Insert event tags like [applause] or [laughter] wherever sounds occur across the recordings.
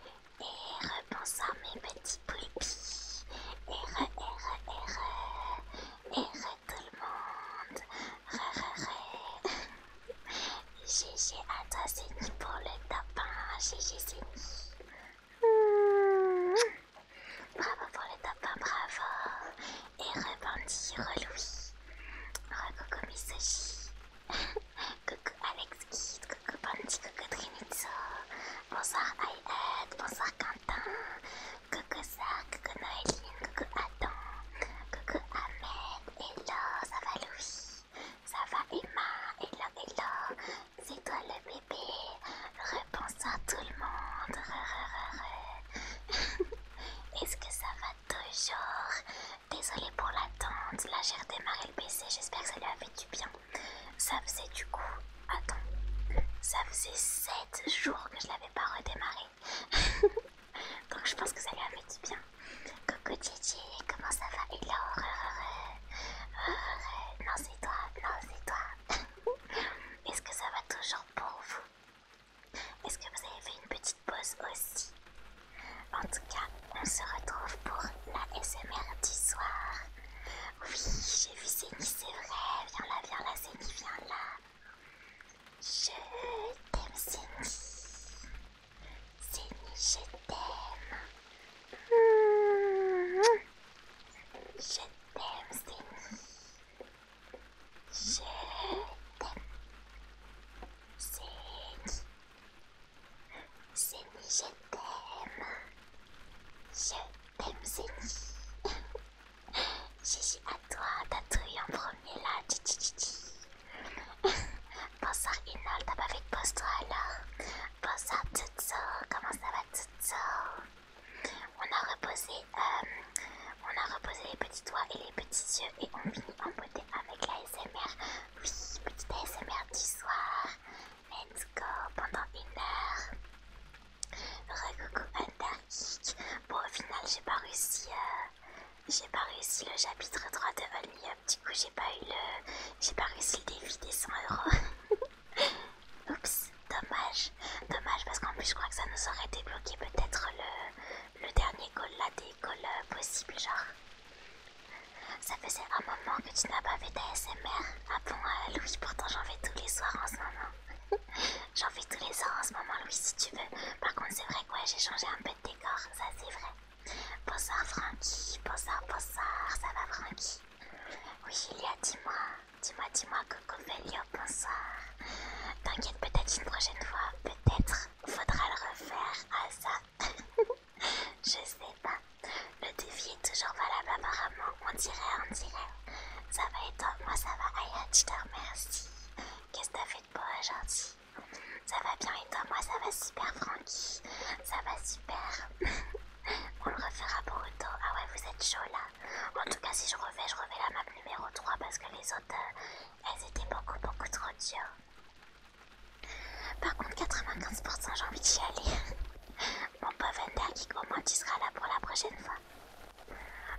Et repense à mes petits poulpis. et R, re tout le monde. Ré Ré GG à toi, Zéni, pour le tapin. GG, Zéni. Bravo pour le tapin, bravo. Et rebandi, reloui. Recoco Misoji. Coucou Alex Kid, coucou Bandy, coucou Trinitso. Bonsoir Ayed, bonsoir Quentin. Coucou Sark, coucou Noéline, coucou Adam. Coucou Ahmed, hello, ça va Louis. Ça va Emma, hello, hello. C'est toi le bébé. re-bonsoir tout le monde. Re, re, re, Est-ce que ça va toujours Désolée pour l'attente. Là j'ai redémarré le PC, j'espère que ça lui a fait du bien. Ça faisait du coup, attends, ça faisait 7 jours que je l'avais pas redémarré. [laughs] Donc je pense que ça lui a fait du bien. Coucou Gigi, comment ça va Il oh, oh, Non, c'est toi, non, c'est toi. [laughs] Est-ce que ça va toujours pour vous Est-ce que vous avez fait une petite pause aussi en tout cas, on se retrouve pour la SMR du soir. Oui, j'ai vu Zénie, c'est vrai. Viens là, viens là, Zénie, viens là. Je t'aime, Zénie. Zénie, je t'aime. Je t'aime, Zénie. Je t'aime. Zénie, Zénie, [laughs] je t'aime. Je t'aime, c'est Gigi à toi, t'as trouvé en premier là. [laughs] Bonsoir, Inol, t'as pas fait de pause toi alors Bonsoir, comment ça va, Tutso On a reposé. Euh, on a reposé les petits doigts et les petits yeux et on finit en beauté avec la SMR. Oui, petite S.M.R du soir. Let's go pendant une heure. Recoucou Antarctique. Bon, au final, j'ai pas réussi. Euh, j'ai pas réussi le chapitre 3 de All Up. Du coup, j'ai pas eu le. J'ai pas réussi le défi des 100 euros. [laughs] Oups, dommage. Dommage parce qu'en plus, je crois que ça nous aurait débloqué peut-être le, le dernier goal la des euh, possible, genre. Ça faisait un moment que tu n'as pas fait smr, Ah bon, euh, Louis, pourtant j'en fais tous les soirs en ce moment. [laughs] j'en fais tous les soirs en ce moment, Louis, si tu veux. Par contre, c'est vrai quoi, j'ai changé un peu de décor, ça c'est vrai. Bonsoir Francky, bonsoir, bonsoir, ça va Francky Oui, a dis-moi, dis-moi, dis-moi, Coco Velio, bonsoir. T'inquiète, peut-être une prochaine fois, peut-être faudra le refaire à ah, ça. [laughs] Je sais pas. Le défi est toujours valable apparemment. On dirait, on dirait. Ça va être Moi, ça va. Aya, je te remercie. Qu'est-ce que t'as fait de beau aujourd'hui Ça va bien et Moi, ça va super, Francky. Ça va super. [laughs] on le refera pour temps. Ah ouais, vous êtes chaud là. En tout cas, si je revais, je revais la map numéro 3 parce que les autres, euh, elles étaient beaucoup, beaucoup trop dures. Par contre, 95%, j'ai envie d'y aller. [laughs] Mon pauvre Undergeek, au moins tu seras là pour la prochaine fois.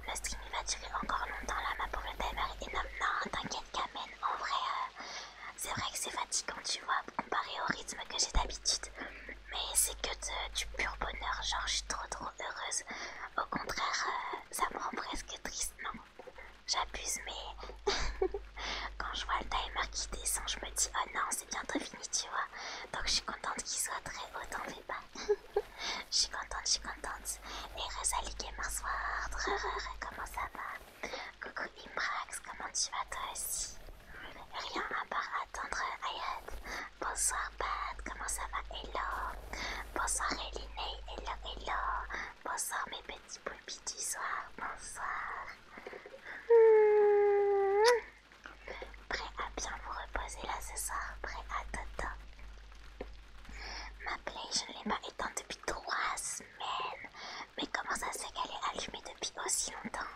Le stream il va durer encore longtemps là, ma le timer est énorme. Non, t'inquiète, Kamen, en vrai, euh, c'est vrai que c'est fatigant, tu vois, comparé au rythme que j'ai d'habitude. Mais c'est que du pur bonheur, genre je suis trop trop heureuse. Au contraire, euh, ça me rend presque triste, non J'abuse, mais [laughs] Quand je vois le timer qui descend, je me dis oh non, c'est bientôt fini, tu vois. Donc je suis contente qu'il soit très haut, dans fais pas. [laughs] Je suis contente, je suis contente. Et Rosalie Gamersword, comment ça va Coucou Imbrax, comment tu vas toi aussi Rien à part attendre Ayat. Bonsoir Pat, comment ça va Hello Bonsoir Eline hello hello Bonsoir mes petits poulpis du soir, bonsoir Prêt à bien vous reposer là ce soir, prêt à t'attendre Ma play, je ne l'ai pas éteinte depuis trois semaines. Mais comment ça c'est qu'elle est allumée depuis aussi longtemps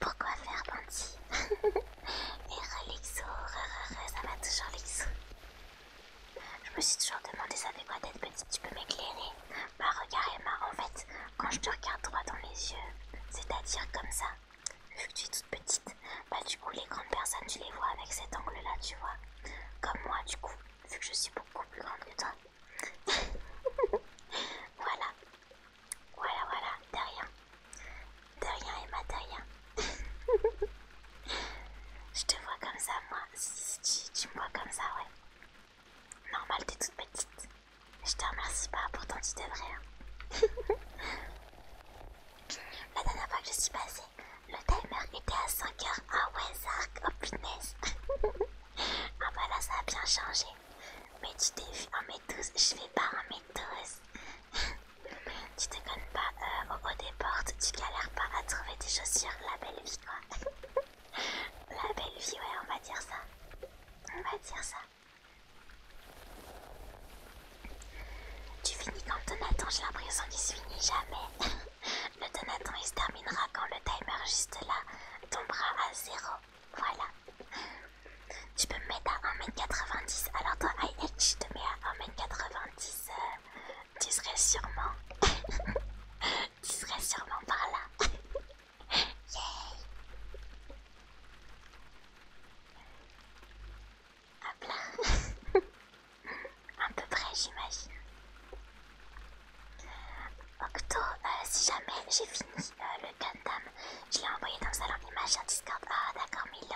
Pourquoi faire bandit [laughs] Et ça va toujours Lixo. Je me suis toujours demandé ça fait quoi d'être petit, tu peux m'éclairer bah regarde Emma, en fait, quand je te regarde droit dans les yeux, c'est-à-dire comme ça, vu que tu es toute petite, bah du coup les grandes personnes tu les vois avec cet angle-là, tu vois. Comme moi du coup, vu que je suis beaucoup plus grande que toi. [laughs] voilà. Voilà, voilà, derrière, rien. rien Emma, de rien. [laughs] je te vois comme ça moi, si, tu me vois comme ça, ouais. Normal, t'es toute petite. Je te remercie pas, pourtant tu devrais. Hein. [laughs] La dernière fois que je suis passée, le timer était à 5h. à Wesark, au oh [laughs] ah bah là, ça a bien changé. Mais tu t'es vu en m je vais pas en m [laughs] tu te connais pas euh, au haut des portes, tu galères pas à trouver des chaussures, la belle vie la belle vie, ouais, on va dire ça. On va dire ça. Tu finis quand Donaton j'ai l'impression qu'il se finit jamais. [laughs] le donaton il se terminera quand le timer juste là tombera à zéro. Voilà. Tu peux me mettre à 1m90. Alors toi, IH, je te mets à 1m90. Euh, tu serais sûrement... [laughs] tu serais sûrement par là. [laughs] Hop là [laughs] À peu près, j'imagine. Octo, euh, si jamais j'ai fini euh, le Gundam, je l'ai envoyé dans le salon d'image sur Discord. Ah d'accord Milo,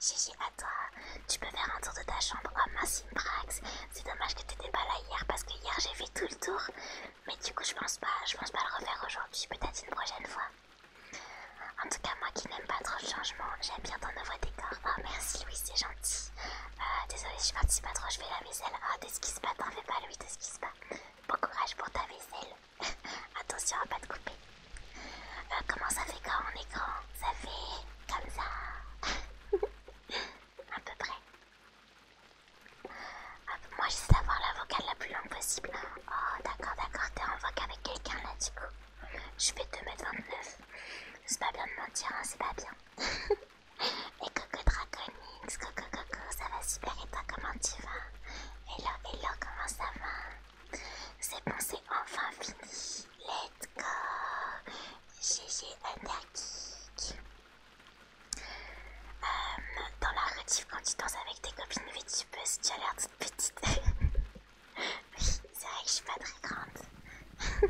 GG à toi. Tu peux faire un tour de ta chambre. Oh mince c'est dommage que n'étais pas là hier parce que hier j'ai fait tout le tour. Mais du coup, je pense pas, je pense pas le refaire aujourd'hui, peut-être une prochaine fois. En tout cas, moi qui n'aime pas trop le changement, j'aime bien ton nouveau décor. Oh merci Louis, c'est gentil. Euh, désolée désolé, je participe pas trop, je fais la vaisselle. Oh, t'esquisse pas, t'en fais pas Louis, t'esquisse pas. Bon courage pour ta vaisselle. [laughs] Attention à pas te couper. Euh, comment ça fait quand on est grand Ça fait comme ça. [laughs] à peu près. Ah, moi, j'essaie d'avoir la vocale la plus longue possible. Oh, d'accord, d'accord, t'es en voc avec quelqu'un là, du coup. Je fais 2m29. C'est pas bien de mentir, hein, c'est pas bien. [laughs] et Coco Draconix, Coco Coco, ça va super et toi, comment tu vas Hello, hello, comment ça va C'est bon, c'est enfin fini. Let's go GG Underkick. Euh, dans la relative, quand tu danses avec tes copines si tu as l'air toute petite. [laughs] oui, c'est vrai que je suis pas très grande. [laughs]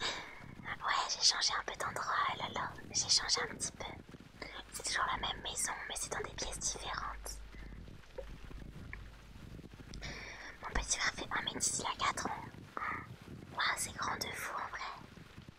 ouais, j'ai changé un peu d'endroit, là là. J'ai changé un petit peu. C'est toujours la même maison, mais c'est dans des pièces différentes. Mon petit frère fait un m à 4 ans. Wow, c'est grand de fou en vrai.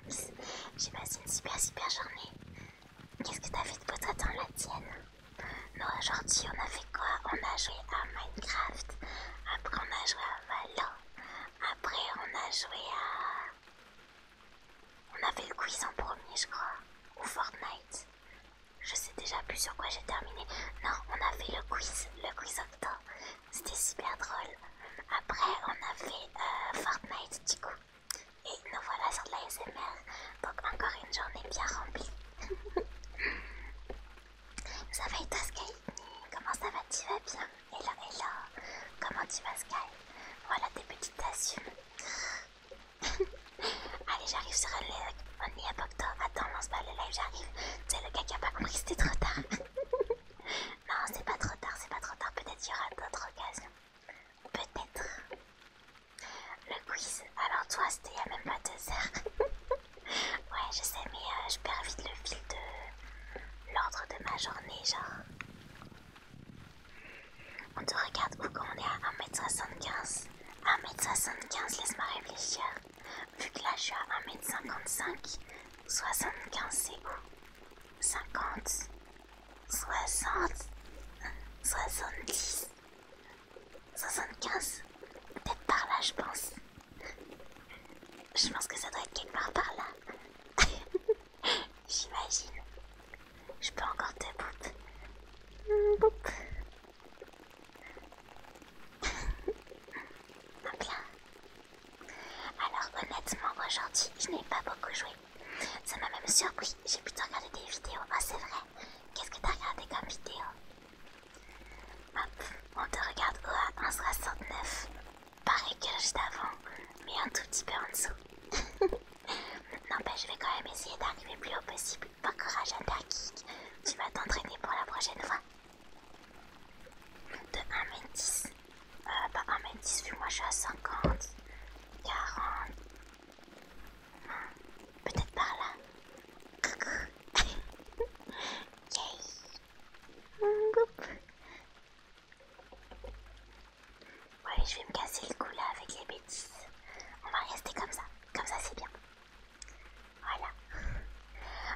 J'ai passé une super super journée. Qu'est-ce que t'as fait de beau dans la tienne Non, aujourd'hui on a fait quoi On a joué à Minecraft, après on a joué à Valor. après on a joué à... On a fait le quiz en premier je crois, ou Fortnite. Je sais déjà plus sur quoi j'ai terminé. Non, on a fait le quiz, le quiz octo. C'était super drôle. Après, on a fait euh, Fortnite du coup. Et nous voilà sur de la SMR. Donc encore une journée bien remplie. [laughs] ça va et toi Sky Comment ça va Tu vas bien Hello, hello. Comment tu vas Sky Voilà tes petites tassues [laughs] Allez, j'arrive sur un live. On y est, Bokto. Attends, on se pas le live, j'arrive. C'est le gars qui a pas compris, c'était trop tard. [laughs] Non, c'est pas trop tard, c'est pas trop tard. Peut-être y aura d'autres occasions. Peut-être. Le quiz. Alors toi, c'était il y a même pas deux heures. [laughs] ouais, je sais, mais euh, je perds vite le fil de l'ordre de ma journée, genre. On te regarde où quand on est à 1m75. 1m75, laisse-moi réfléchir. Vu que là je suis à 1m55, 75 c'est où 50 60 soixante 75 Peut-être par là, je pense. Je pense que ça doit être quelque part par là. [laughs] J'imagine. Je peux encore te boop. Hop [laughs] là. Alors honnêtement, aujourd'hui, je n'ai pas beaucoup joué. Ça m'a même surpris, j'ai plutôt regardé des vidéos. Ah, c'est vrai. Qu'est-ce que t'as regardé comme vidéo Hop, on te regarde OA 169. Pareil que je d'avant, mais un tout petit peu en dessous. [laughs] N'empêche, je vais quand même essayer d'arriver plus haut possible. Pas courage, Undergeek. Tu vas t'entraîner pour la prochaine fois de 1m10. Euh, bah 1m10 vu moi je suis à 50, 40, peut-être par là. OK. [laughs] Ouais, je vais me casser le cou là avec les bêtises. On va rester comme ça. Comme ça, c'est bien. Voilà.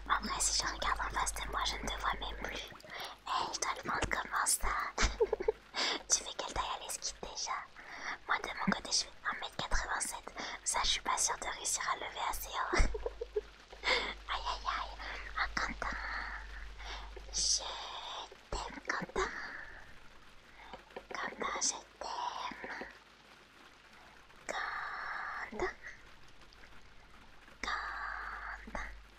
après si je regarde en face de moi, je ne te vois même plus je dois le vendre comment ça [laughs] Tu fais quelle taille à l'esquite déjà Moi de mon côté, je fais 1m87. Ça, je suis pas sûre de réussir à lever assez haut. [laughs] aïe aïe aïe. Oh, Quentin Je t'aime, Quentin. Quentin, je t'aime. Quentin. Quentin.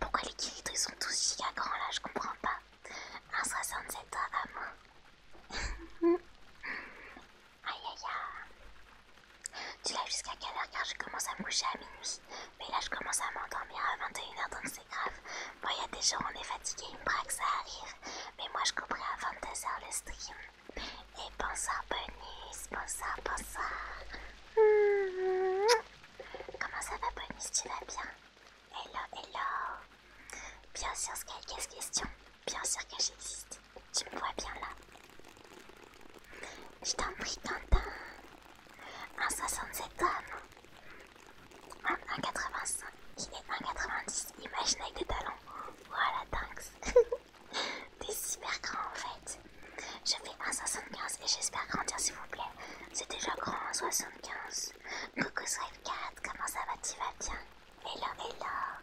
Pourquoi les ils sont tous giga grands là Je comprends pas. 1,67 à moi aïe aïe aïe. Tu l'as jusqu'à quelle heure car je commence à me coucher à minuit. Mais là je commence à m'endormir à 21h donc c'est grave. Bon, il y a des gens, on est fatigué, une braque ça arrive. Mais moi je couperai à 22h le stream. Et bonsoir bonus, bonsoir, bonsoir. Comment ça va, Bonus Tu vas bien Hello, hello Bien sûr, qu'est-ce Question. Bien sûr que j'existe. Tu me vois bien là Je t'en prie, Quentin. Un 67 tonnes. Un 1,85 il est 1,90. Imagine avec des talons. Voilà, thanks T'es [laughs] super grand en fait. Je fais 1,75 et j'espère grandir s'il vous plaît. C'est déjà grand 1,75. Coucou Swipe4, comment ça va Tu vas bien et là.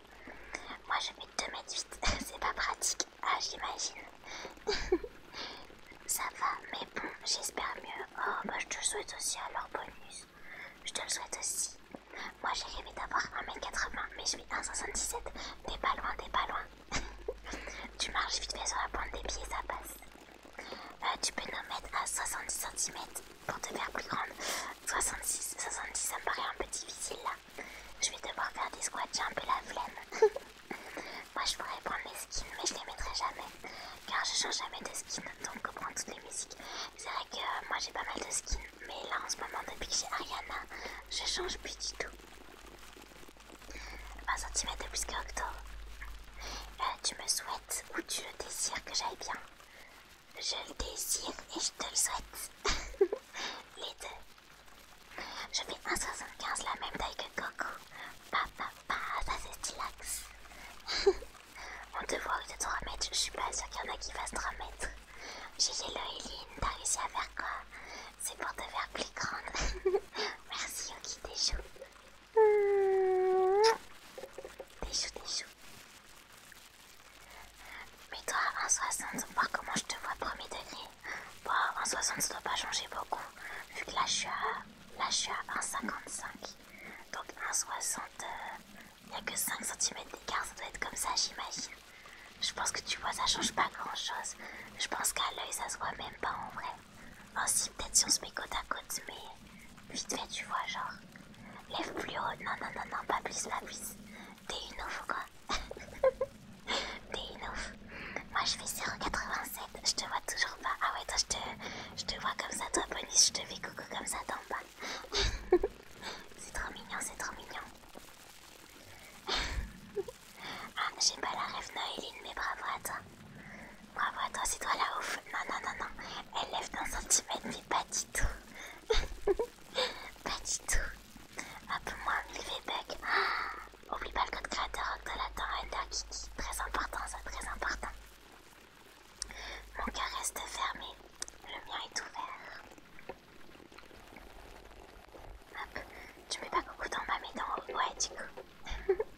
Moi je fais 2 m c'est pas pratique. Ah, j'imagine. [laughs] ça va, mais bon, j'espère mieux. Oh, bah je te souhaite aussi alors, bonus. Je te le souhaite aussi. Moi j'ai rêvé d'avoir 1m80, mais je fais 1,77. T'es pas loin, t'es pas loin. [laughs] tu marches vite fait sur la pointe des pieds, ça passe. Euh, tu peux nous mettre à 70 cm pour te faire plus grande. 66, 70, ça me paraît un peu difficile là. Je vais devoir faire des squats, j'ai un peu la flemme. [laughs] Moi je pourrais prendre mes skins, mais je les mettrai jamais. Car je change jamais de skin, donc pour prends toutes les musiques. C'est vrai que euh, moi j'ai pas mal de skins, mais là en ce moment, depuis que j'ai Ariana, je change plus du tout. 20 cm plus que Octo, euh, tu me souhaites ou tu le désires que j'aille bien Je le désire et je te le souhaite. [laughs] Les deux. Je fais 1,75 la même taille que Coco. Pa, pa, pa, ça c'est [laughs] On te voit au de 3 mètres, je suis pas sûre qu'il y en a qui fassent 3 mètres. J'ai Yellow et t'as réussi à faire quoi C'est pour te faire plus grande. [laughs] Merci t'es chou t'es chou. Mais toi, 1,60, voir comment je te vois premier degré. Bon, 1,60 ça doit pas changer beaucoup, vu que là je suis à, 1,55. Donc 1,60, euh, il y a que 5 cm d'écart, ça doit être comme ça, j'imagine. Je pense que tu vois, ça change pas grand chose. Je pense qu'à l'œil, ça se voit même pas en vrai. Oh si, peut-être si on se met côte à côte, mais vite fait, tu vois, genre. Lève plus haut. Non, non, non, non, pas plus, pas plus. T'es une ouf ou quoi [laughs] T'es une ouf. Moi, je fais 0,87. Je te vois toujours pas. Ah ouais, toi, je te, vois comme ça, toi, bonus, Je te fais coucou comme ça t'en bas. [laughs] c'est trop mignon, c'est trop mignon. [laughs] Ah, j'ai pas la rêve Noéline, mais bravo à toi. Bravo à toi, c'est toi la ouf. Non, non, non, non. Elle lève d'un centimètre, mais pas du tout. [laughs] pas du tout. Un peu moins 1000 v ah, oublie pas le code créateur de la Torrender Très important, ça, très important. Mon cœur reste fermé. Le mien est ouvert. Hop. Tu mets pas coucou dans ma main, dans... Ouais, du coup. [laughs]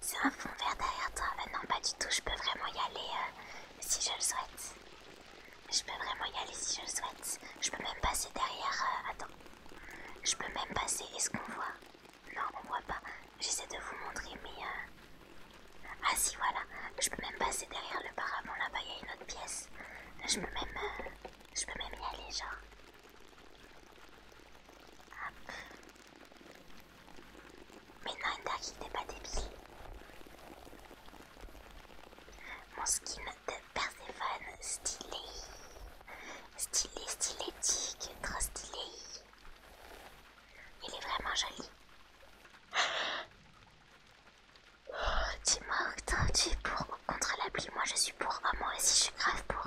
C'est un fond vert derrière toi. Euh, non, pas du tout. Je peux vraiment y aller euh, si je le souhaite. Je peux vraiment y aller si je le souhaite. Je peux même passer derrière. Euh, attends. Je peux même passer. Est-ce qu'on voit Non, on voit pas. J'essaie de vous montrer, mais. Ah, si, voilà. Je peux même passer derrière le paravent. Là-bas, il y a une autre pièce. Je Je peux même y aller, genre. Mais non, qui n'est pas débile. Mon skin de Persephone, stylé. Stylé, stylétique, trop stylé. Il est vraiment joli. Tu m'as tu es pour contre la pluie Moi, je suis pour. moi aussi, je suis grave pour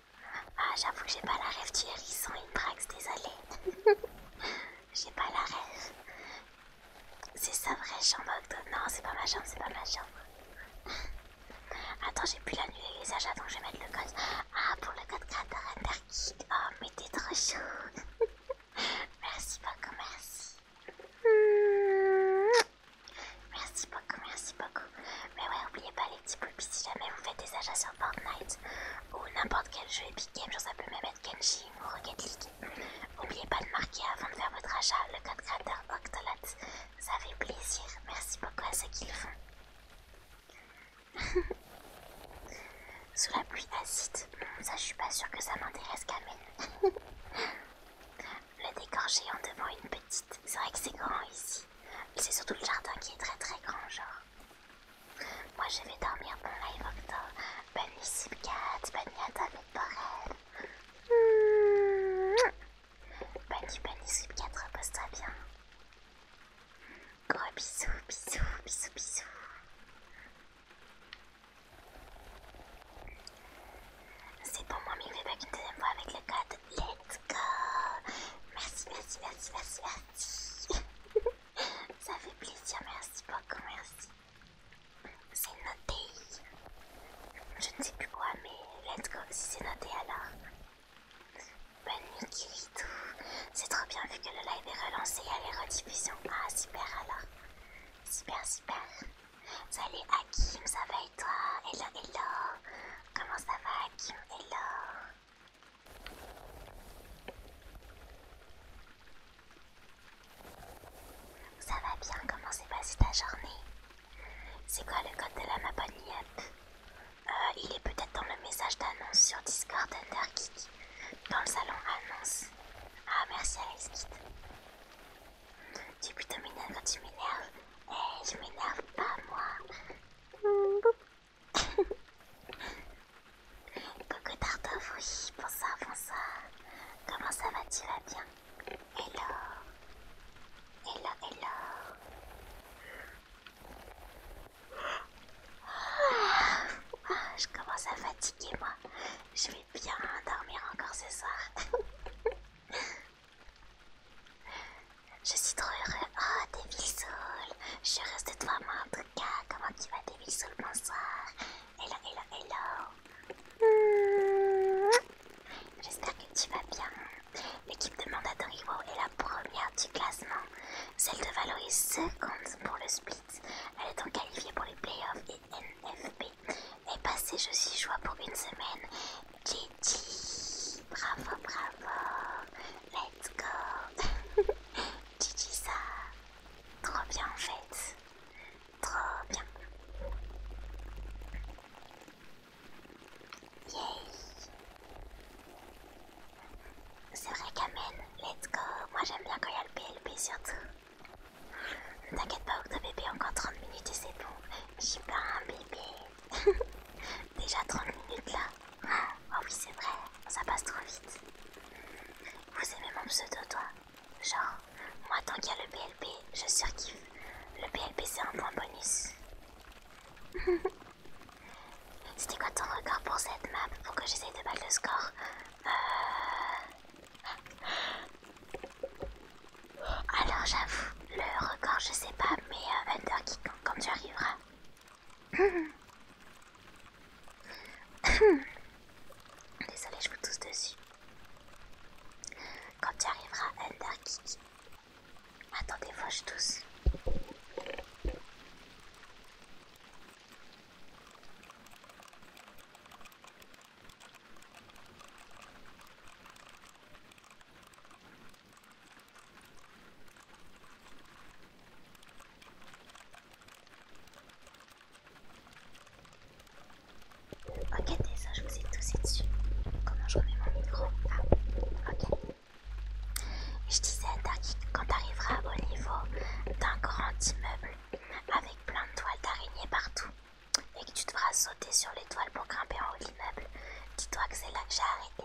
Ah, j'avoue, j'ai pas la rêve du hérisson praxe, désolée, [laughs] j'ai pas la rêve. C'est sa vraie chambre octobre. Non, c'est pas ma chambre, c'est pas ma chambre. Attends, j'ai pu l'annuler les achats, donc je vais mettre le code. Ah, pour le code cratère Underkid. Oh, mais t'es trop chaud. [laughs] merci beaucoup, merci. Merci beaucoup, merci beaucoup. Mais ouais, oubliez pas les et puis si jamais vous faites des achats sur Fortnite ou n'importe quel jeu Epic Games, ça peut même être Kenshi ou Rocket League. N'oubliez pas de marquer avant de faire votre achat le code créateur Octolat, ça fait plaisir, merci beaucoup à ceux qui le font. [laughs] Sous la pluie acide, hmm, ça je suis pas sûre que ça m'intéresse quand même. [laughs] le décor géant devant une petite, c'est vrai que c'est grand ici. C'est surtout le jardin qui est très très grand genre. Moi je vais dormir mon live octobre. Bonne nuit 4, bonne nuit à toi avec Borel. Bonne nuit, bonne nuit 4, repose-toi bien. Gros bisous, bisous, bisous, bisous. C'est pour moi, mais il pas une deuxième fois avec le code. Let's go! Merci, merci, merci, merci, merci. Ça fait plaisir, merci beaucoup, merci. C'est noté. Je ne sais plus quoi, mais let's go si c'est noté alors. Bonne nuit, Kirito. C'est trop bien vu que le live est relancé a les rediffusions. Ah, super alors. Super, super. Salut Hakim, ça va et toi Hello, hello. Comment ça va Hakim Hello. Ça va bien, comment s'est passée ta journée C'est quoi le code de la Maponiette euh, Il est peut-être dans le message d'annonce sur Discord Underkick, dans le salon annonce. Ah merci Alice Tu es plutôt quand tu m'énerves. Eh, je m'énerve pas moi. Mmh, Coucou [laughs] Tartuffe, oui, bonsoir, bonsoir. Comment ça va, tu vas bien Hello. Hello, hello. Ah, ah, je commence à fatiguer, moi. Je vais bien dormir encore ce soir. [laughs] Je suis trop heureux. Oh, Devil Je suis heureuse de toi, moi, en tout cas. Comment tu vas, Devil Soul Bonsoir. Hello, hello, hello. Hmm. J'espère que tu vas bien. L'équipe de Mandatory est la première du classement. Celle de Valoris seconde pour le split. Elle est donc qualifiée pour les playoffs et NFP. Et passée, je suis joie pour une semaine. dit Bravo, bravo. Let's go Gigi [laughs] ça Trop bien en fait Trop bien Yay C'est vrai qu'Amen, let's go Moi j'aime bien quand il y a le PLP surtout Ne t'inquiète pas Octo bébé, encore 30 minutes et c'est bon J'ai pas un bébé [laughs] Déjà 30 minutes là oh oui, c'est vrai, ça passe trop vite. Vous aimez mon pseudo, toi Genre, moi, tant qu'il y a le PLP, je surkiffe. Le PLP, c'est un point bonus. [laughs] C'était quoi ton record pour cette map pour que j'essaye de battre le score euh. Alors j'avoue, le record je sais pas, mais qui euh, compte quand tu arriveras, Désolée, je vous tousse dessus. Quand tu arriveras, Ender Kiki. Attendez, fauche je tousse. Ok, ça je vous ai toussé dessus. Comment je remets mon micro Ah, ok. Je disais quand tu arriveras au niveau d'un grand immeuble avec plein de toiles d'araignée partout et que tu devras sauter sur les toiles pour grimper en haut de l'immeuble, dis-toi que c'est là que j'ai arrêté.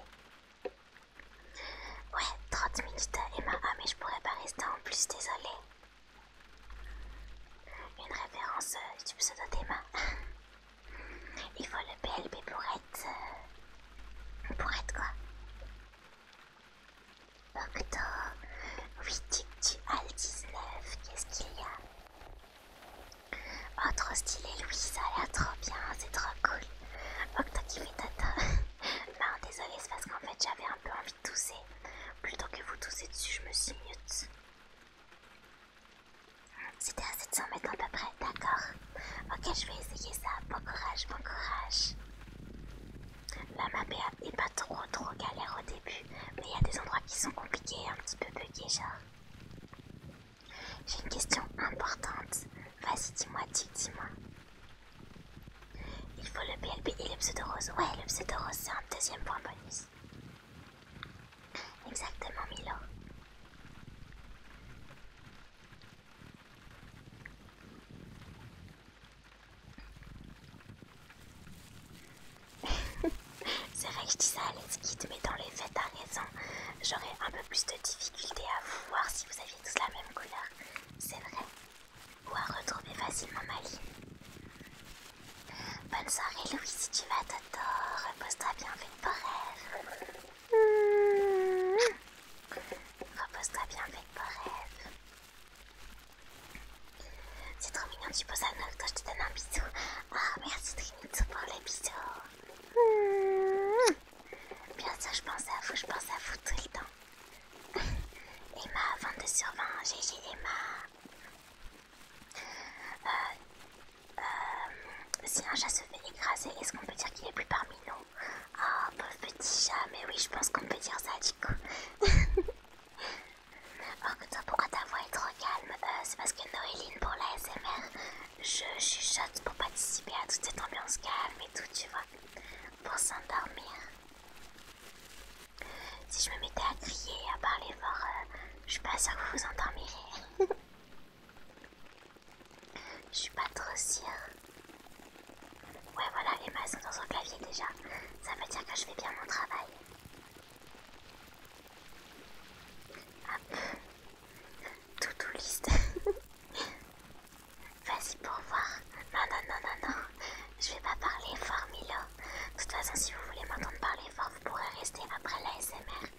Ouais, 30 minutes Emma. Ah mais je pourrais pas rester en plus, désolé Une référence euh, du pseudo d'Emma. [laughs] Il faut le PLB pour être... Euh, pour être quoi Octo, 8 as le 19, qu'est-ce qu'il y a Oh trop stylé Louis, ça a l'air trop bien, c'est trop cool Ok, t'as tata. bah, désolé, c'est parce qu'en fait j'avais un peu envie de tousser. Plutôt que vous tousser dessus, je me suis mute. C'était à 700 mètres à peu près, d'accord. Ok, je vais essayer ça. Bon courage, bon courage. La map n'est pas trop trop galère au début, mais il y a des endroits qui sont compliqués, un petit peu buggés genre. J'ai une question importante. Vas-y, dis-moi, dis, dis-moi. Il faut le PLB et le pseudo rose. Ouais, le pseudo rose, c'est un deuxième point bonus. Exactement, Milo. [laughs] c'est vrai que je dis ça à mais dans les faits, t'as raison. J'aurais un peu plus de difficulté à voir si vous avez tous la même couleur, c'est vrai, ou à retrouver facilement ma ligne. Bonne soirée Louis si tu vas Toto, repose-toi bien, fais de rêve rêves. Repose-toi bien, fais de rêve C'est trop mignon, tu poses un Toi je te donne un bisou. Ah, oh, merci Trinito pour les bisous. Bien sûr, je pense à vous, je pense à vous tout le temps. [laughs] Emma, 22 sur 20, GG Emma. Euh, euh, si un chat se fait écraser, est-ce qu'on peut dire qu'il est plus parmi nous Oh, pauvre petit chat, mais oui, je pense qu'on peut dire ça du coup. [laughs] que toi, pourquoi ta voix est trop calme euh, C'est parce que Noéline, pour la SMR, je chuchote pour participer à toute cette ambiance calme et tout, tu vois, pour s'endormir. Si je me mettais à crier, à parler fort, euh, je suis pas sûre que vous vous endormirez. [laughs] je suis pas trop sûre. Ouais, voilà, les mains sont dans son clavier déjà. Ça veut dire que je fais bien mon travail. Hop. Tout, tout liste. [laughs] Vas-y pour voir. Non, non, non, non, non. Je vais pas parler fort, Milo. De toute façon, si vous voulez m'entendre parler fort, vous pourrez rester après la SMR.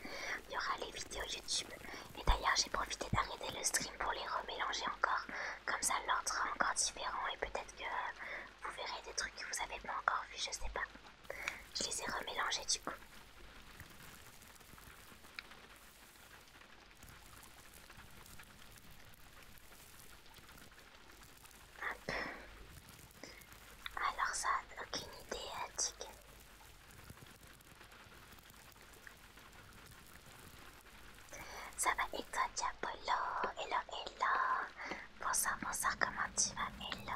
Il y aura les vidéos YouTube. Et d'ailleurs, j'ai profité d'arrêter le stream pour les remélanger encore. Comme ça, l'ordre sera encore différent et peut-être que vous verrez des trucs que vous avez pas encore vu, je sais pas. Je les ai remélangés du coup. Alors ça, n'a aucune idée, Attic. Ça va et toi, Diapolo Hello, hello Bonsoir, bonsoir, comment tu vas Hello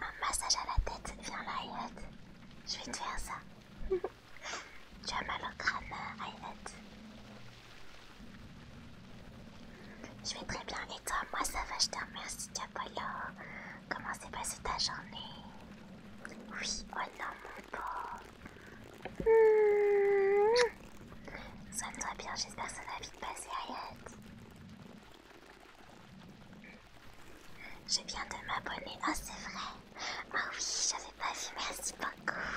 un massage à la tête, viens là, Je vais te faire ça. [laughs] tu as mal au crâne, Ayat. Je vais très bien, et toi, moi ça va, je te remercie, Comment s'est passée ta journée Oui, oh non, mon pauvre. sois Soigne-toi bien, j'espère que ça va vite passer, Ayat. Je viens de m'abonner. Ah, c'est vrai. Ah oh, oui, j'avais pas vu. Merci beaucoup.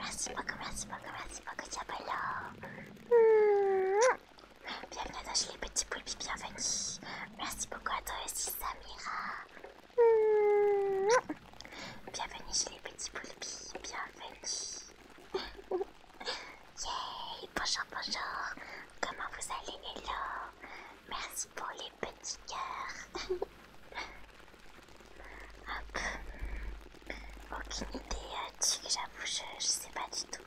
Merci beaucoup, merci beaucoup, merci beaucoup, Diabolo. Bienvenue à toi, les petits poulpes. Bienvenue. Merci beaucoup à toi aussi, Samira. Bienvenue chez les petits poulpes. Bienvenue. Yay, bonjour, bonjour. Comment vous allez, Hello Merci pour les petits cœurs. [laughs] Hop. Aucune idée, tu euh, que j'avoue, je, sais pas du tout.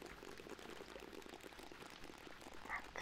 Hop.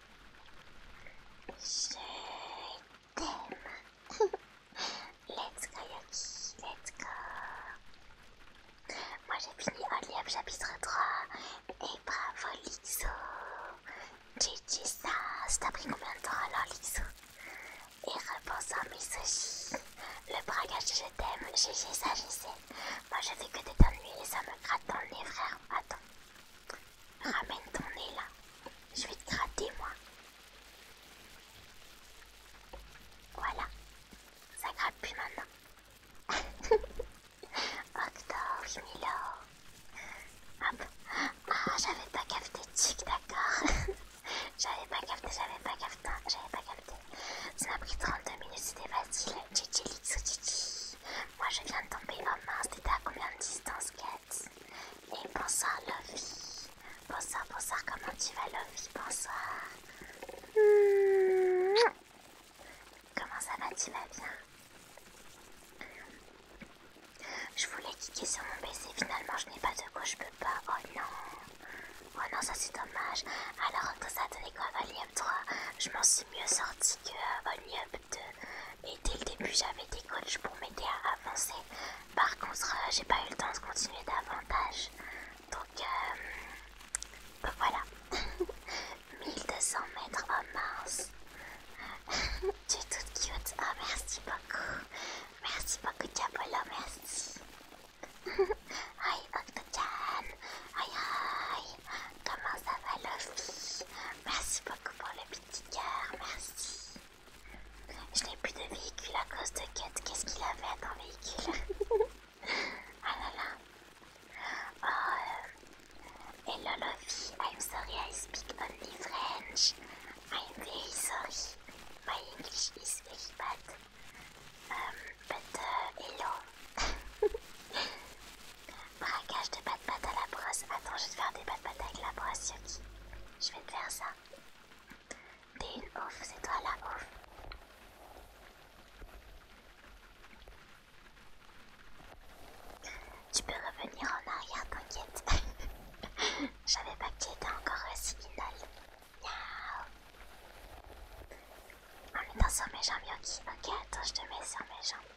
Je t'aime. let's go let's go. Moi j'ai fini Only chapitre 3. Et bravo Litsu! GG ça. Ça pris combien de temps alors Lixou Et repensons à mes Le braquage je t'aime. GG ça, je Moi je fais que des t'ennuyer et ça me gratte dans le nez frère. Attends. Ramène ton nez là. Je vais te gratter, moi. Voilà. Ça gratte plus maintenant. [laughs] Octo Milo. Hop. Ah, j'avais pas capté Chic, d'accord. [laughs] j'avais pas capté, j'avais pas capté, pas capté. Ça m'a pris 32 minutes, c'était facile. Chichi, Lixo, Chichi moi je viens de tomber. Oh mince, c'était à combien de distance, Kat Et bonsoir, Lovie. Bonsoir, bonsoir, comment tu vas, Lovie Bonsoir. Comment ça va Tu vas bien Je voulais cliquer sur mon PC, finalement je n'ai pas de quoi, je peux pas. Oh non. Oh non, ça c'est dommage. Alors, que ça t'en es quoi Only Up 3 Je m'en suis mieux sorti que Only Up 2. Et dès le début, j'avais des coachs pour m'aider à avancer. Par contre, euh, j'ai pas eu le temps de continuer davantage. Donc, euh, bah voilà. 1200 [laughs] mètres, en mars. [laughs] tu es toute cute. Ah, merci beaucoup. Merci beaucoup, Diabolo, merci. Hi, Octocam. Hi, hi. Comment ça va, Lofi Merci beaucoup pour le petit cœur, merci. Je n'ai plus de véhicule à cause de Kate. Qu'est-ce qu'il avait à ton véhicule [laughs] Ah là là. Oh, euh. hello, Lofi. I'm sorry I speak only French. I'm very sorry. My English is very bad. Um, but uh, hello. [laughs] Braquage de patte pâte à la brosse. Attends, je vais te faire des patte pâtes avec la brosse, Yoki. Je vais te faire ça. T'es une ouf, c'est toi la ouf. Tu peux revenir en arrière, t'inquiète. [laughs] J'avais pas que tu étais encore aussi inol. En mettant dans sur mes jambes, Yoki. Ok, attends, je te mets sur mes jambes.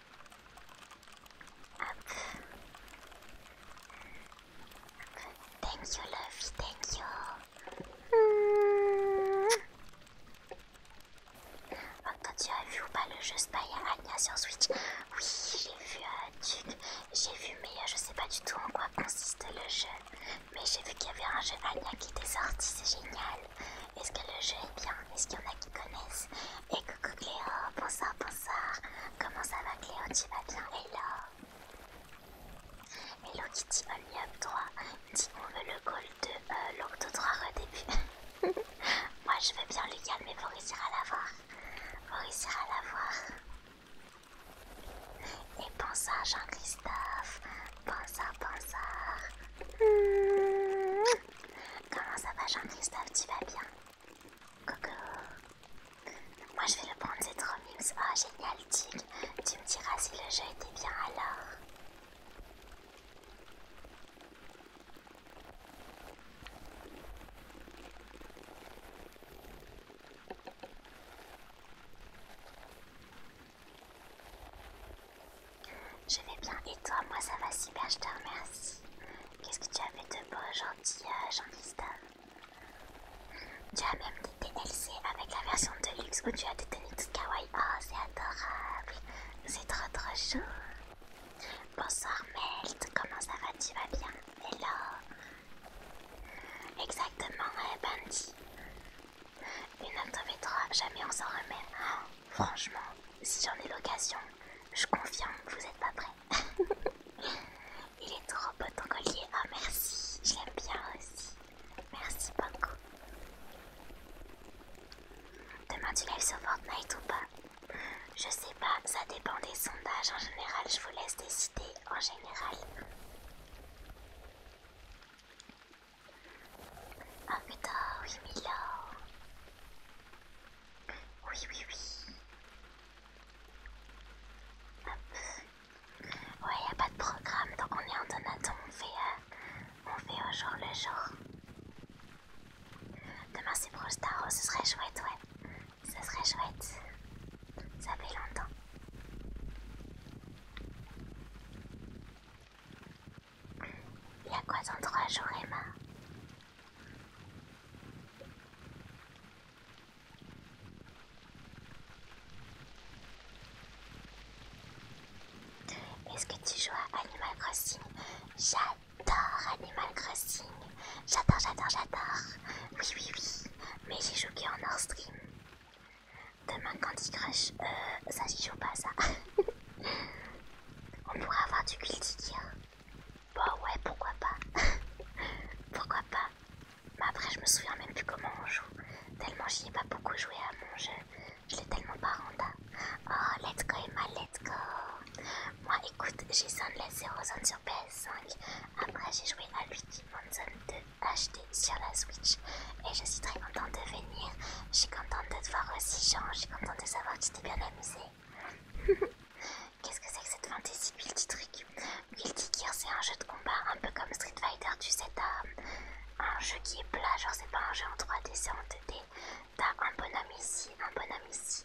Hop. Thank you, thank you. Oh, tu as vu ou pas le jeu Spy Anya sur Switch Oui, j'ai vu euh, j'ai vu, mais euh, je sais pas du tout en quoi consiste le jeu. Mais j'ai vu qu'il y avait un jeu Anya qui était sorti, c'est génial. Est-ce que le jeu est bien Est-ce qu'il y en a qui connaissent Et coucou Cléo, bonsoir, bonsoir. Comment ça va Cléo Tu vas bien Hello Hello Kitty Only toi 3 dit on veut le goal de euh, l'Octo 3 redébut. [laughs] Moi je veux bien le calmer, mais vous réussir à l'avoir. Vous réussirez à l'avoir. Et bonsoir Jean-Christophe. Bonsoir, bonsoir. ça. Mmh. Comment ça va Jean-Christophe, tu vas bien Coucou Moi je vais le prendre, c'est trop mignon. Oh génial tu me diras si le jeu était bien alors. Je vais bien et toi, moi ça va super, je te remercie. Qu'est-ce que tu as fait de beau, gentil euh, jean Tu as même des DLC avec la version de luxe où tu as des tenues de kawaii. Oh, c'est adorable, c'est trop trop chaud. Bonsoir Melt, comment ça va, tu vas bien Hello Exactement, euh, Bandy. Une autre v jamais on s'en remet. Oh. Franchement, si j'en ai l'occasion, je confirme que vous n'êtes pas prêts. [laughs] Il est trop beau ton collier. Ah, merci. Je l'aime bien aussi. Merci beaucoup. Demain, tu lèves sur Fortnite ou pas Je sais pas, ça dépend des sondages. En général, je vous laisse décider. En général. Ah putain, oui, Milo Oui, oui, oui. Hop. Ouais, y a pas de programme, donc on est en donaton, on fait, euh, on fait au jour le jour. Demain c'est Brawl Staro oh, ce serait chouette, ouais. Ce serait chouette. Ça fait longtemps. Il y a quoi dans trois jours, Emma Est-ce que tu joues à Animal Crossing J'adore Animal Crossing. J'adore, j'adore, j'adore. Oui, oui, oui. Mais j'ai joué en hors stream. Demain quand il Crush, euh, ça j'y joue pas ça. [laughs] On pourrait avoir du Guilty hein. Bon bah ouais, pourquoi pas. [laughs] pourquoi pas. Mais après je me souviens même plus comment on joue. Tellement j'y ai pas beaucoup joué à mon jeu. Je l'ai tellement pas renda. Oh, let's go Emma, let's go. Moi écoute, j'ai la Zero Zone sur PS5. Après j'ai joué à Luigi Zone 2 HD sur la Switch. Et je suis très contente de venir. Je suis contente de te voir aussi Jean. Je suis contente de savoir que bien amusé. [laughs] Qu'est-ce que c'est que cette fantasy Guilty Trick Guilty Gear, c'est un jeu de combat un peu comme Street Fighter, tu sais, t'as euh, un jeu qui est plat, genre c'est pas un jeu en 3D, c'est en 2D. T'as un bonhomme ici, un bonhomme ici,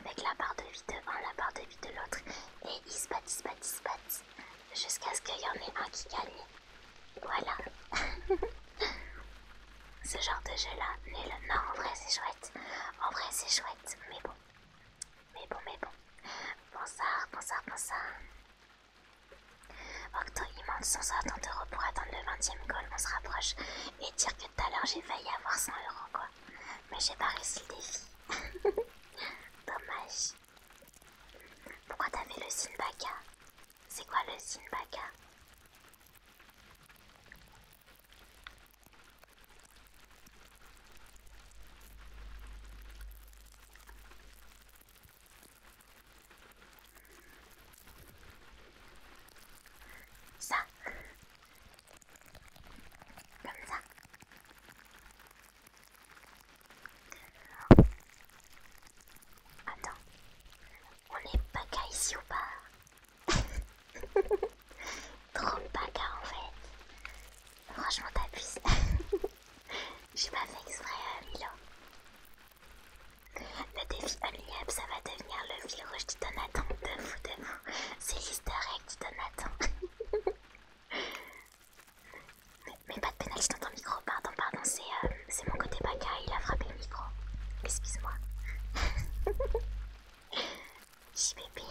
avec la barre de vie de l'un, la barre de vie de l'autre, et ils se battent, ils se battent, ils se battent, jusqu'à ce qu'il y en ait un qui gagne. Voilà. [laughs] Ce genre de jeu là, nul. Non, en vrai c'est chouette. En vrai c'est chouette, mais bon. Mais bon, mais bon. Bonsoir, bonsoir, bonsoir. Octo, il manque ça, euros pour atteindre le 20ème goal, on se rapproche. Et dire que tout à l'heure j'ai failli avoir 100 euros quoi. Mais j'ai pas réussi défi. [laughs] Dommage. Pourquoi t'avais le Sinbaka c'est quoi le Sinbaka Ça. Comme ça. Attends. On est baga ici ou pas Trop baga en fait. Franchement, t'abuses. J'ai pas fait exprès, Milo. Le défi Unliab, ça va devenir le fil rouge du Donaton. De vous, de vous. C'est l'easter egg du Donaton. [laughs] mais, mais pas de pénalité dans ton micro, pardon, pardon, c'est. Euh, c'est mon côté baka, il a frappé le micro. Excuse-moi. [laughs] JBP.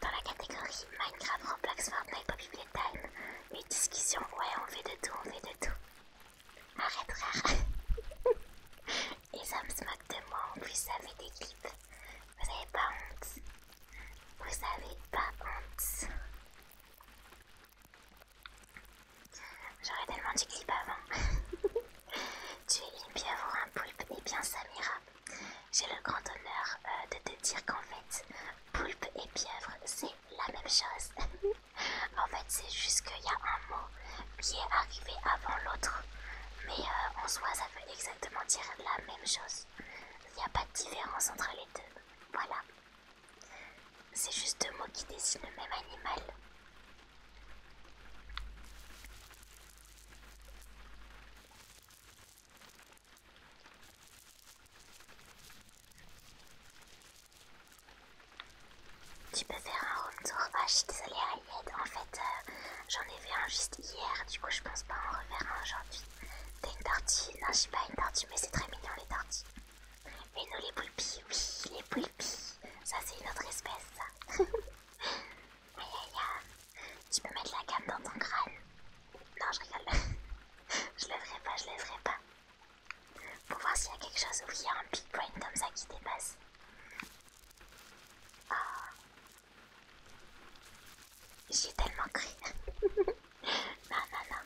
Dans la catégorie Minecraft, Roblox, Fortnite, Poppy Playtime, les discussions, ouais, on fait de tout, on fait de tout. Arrête, rare. Et ça me moquent de moi, en plus ça fait des clips. Vous avez pas honte. Vous avez pas honte. J'aurais tellement du clip avant. [laughs] tu es une pieuvre, un poulpe, et bien Samira. J'ai le grand honneur euh, de te dire qu'en fait, poulpe et pieuvre, c'est la même chose. [laughs] en fait, c'est juste qu'il y a un mot qui est arrivé avant l'autre. Mais euh, en soi, ça veut exactement dire la même chose. Il n'y a pas de différence entre les deux. Voilà. C'est juste deux mots qui dessinent le même animal. Tu peux faire un home tour Ah, je suis désolée, En fait, euh, j'en ai fait un juste hier. Du coup, je pense pas en refaire un aujourd'hui. T'as une tortue Non, sais pas une tortue, mais c'est très mignon les tortues. Mais nous les oui, les poulpis. Ça, c'est une autre espèce, ça. [laughs] aïe aïe aïe. Tu peux mettre la gamme dans ton crâne. Non, je rigole. [laughs] je le ferai pas, je le ferai pas. Pour voir s'il y a quelque chose où il y a un big brain comme ça qui dépasse. Oh. J'ai tellement cru. [laughs] non, non, non.